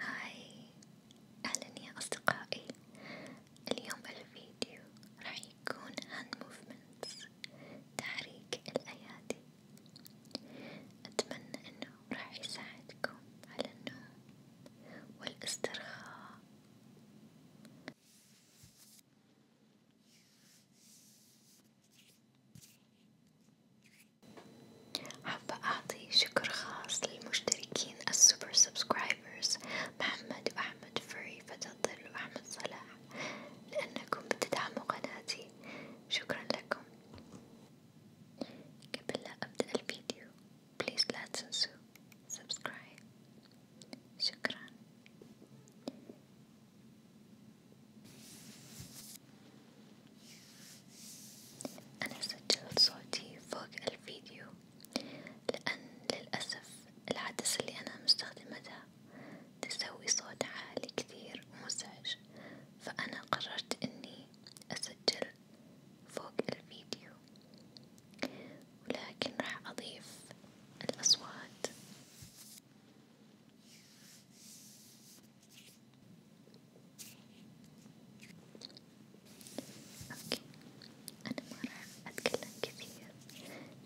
هاي أهلا يا أصدقائي اليوم الفيديو راح يكون عن موفمنتس تحريك الأيادي أتمنى أنه راح يساعدكم على النوم والاسترخاء حابة أعطي شكر خاص للمشتركين السوبر سبسكرايبرز محمد وأحمد فري فتى الظل وأحمد صلاح لأنكم بتدعموا قناتي شكرا لكم قبل لا أبدأ الفيديو بليز لا تنسوا سبسكرايب شكرا أنا سجلت صوتي فوق الفيديو لأن للأسف العدسة اللي أنا مستخدمتها تسوي صوت عالي كثير ومزعج فأنا قررت إني أسجل فوق الفيديو ولكن راح أضيف الأصوات أوكي أنا ما راح أتكلم كثير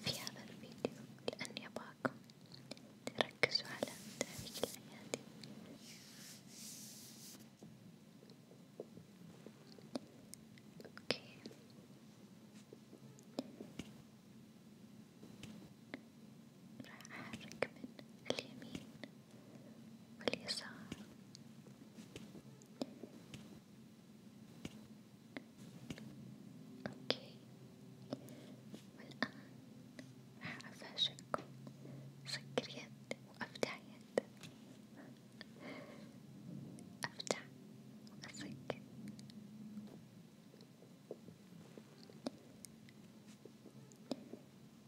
في هذا الفيديو لأني أباكم تركزوا على تاريخ الأيادي أوكي راح أحرك من اليمين واليسار أوكي والآن راح أفاجئكم أسكر يد وأفتح يد أفتح وأسكر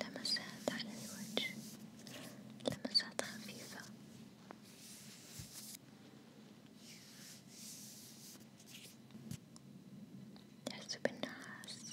لمسات على الوجه لمسات خفيفة تحس بالنعاس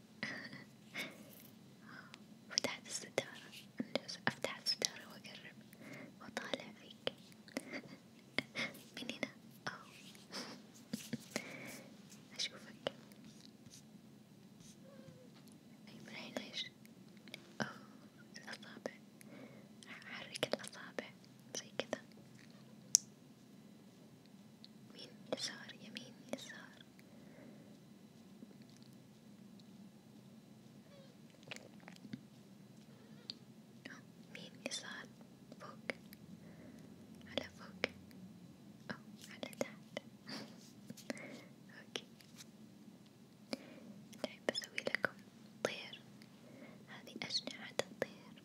فتحت الستارة أنجز أفتح الستارة وأقرب وأطالع فيك من هنا أو أشوفك طيب رايح ليش؟ أو الأصابع حرك الأصابع زي كذا يمين يسار يمين يسار يمين يسار فوق على فوق أو على تحت أوكي طيب بسوي لكم طير هذه أجنحة الطير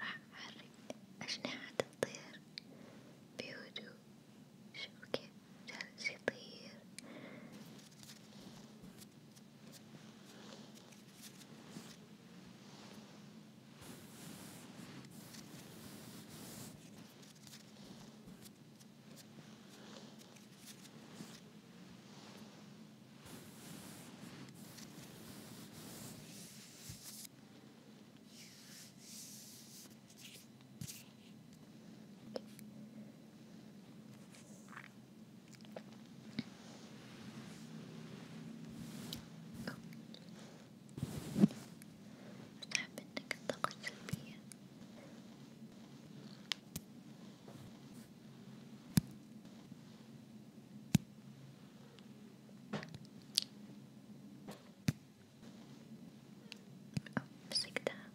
راح أحرك أجنحة الطير بهدوء، شوف كيف جالس يطير، مستحب انك الطاقة السلبية مسكتها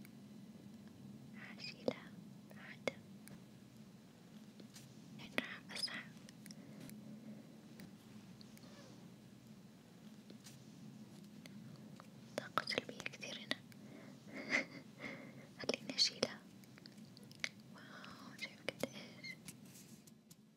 هشيلها عادة لأن يعني راح أسحب طاقة سلبية كثير هنا خليني أشيلها واو شايف قد إيش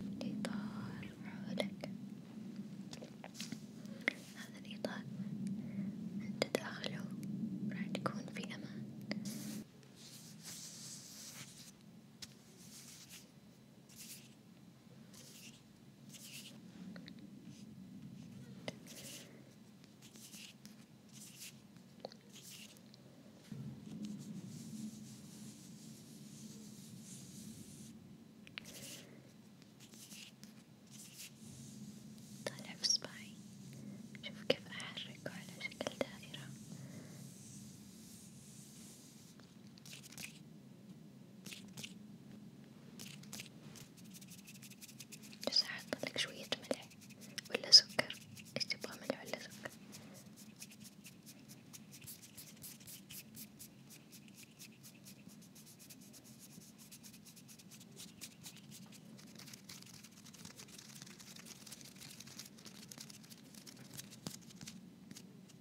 الإطار عودك هذا الإطار أنت داخله راح تكون في أمان. طالع في صباعي شوف كيف أحركه على شكل دائرة بس أحطلك شوية ملح ولا سكر ايش تبغى ملح ولا سكر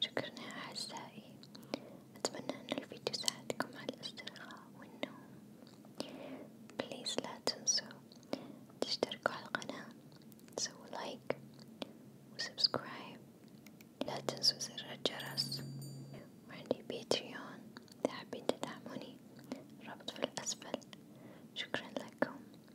شكرا يا أعزائي، أتمنى أن الفيديو ساعدكم على الاسترخاء والنوم، بليز لا تنسوا تشتركوا على القناة، سووا لايك وسبسكرايب، لا تنسوا زر الجرس، وعندي باتريون إذا حابين تدعموني، الرابط في الأسفل، شكرا لكم.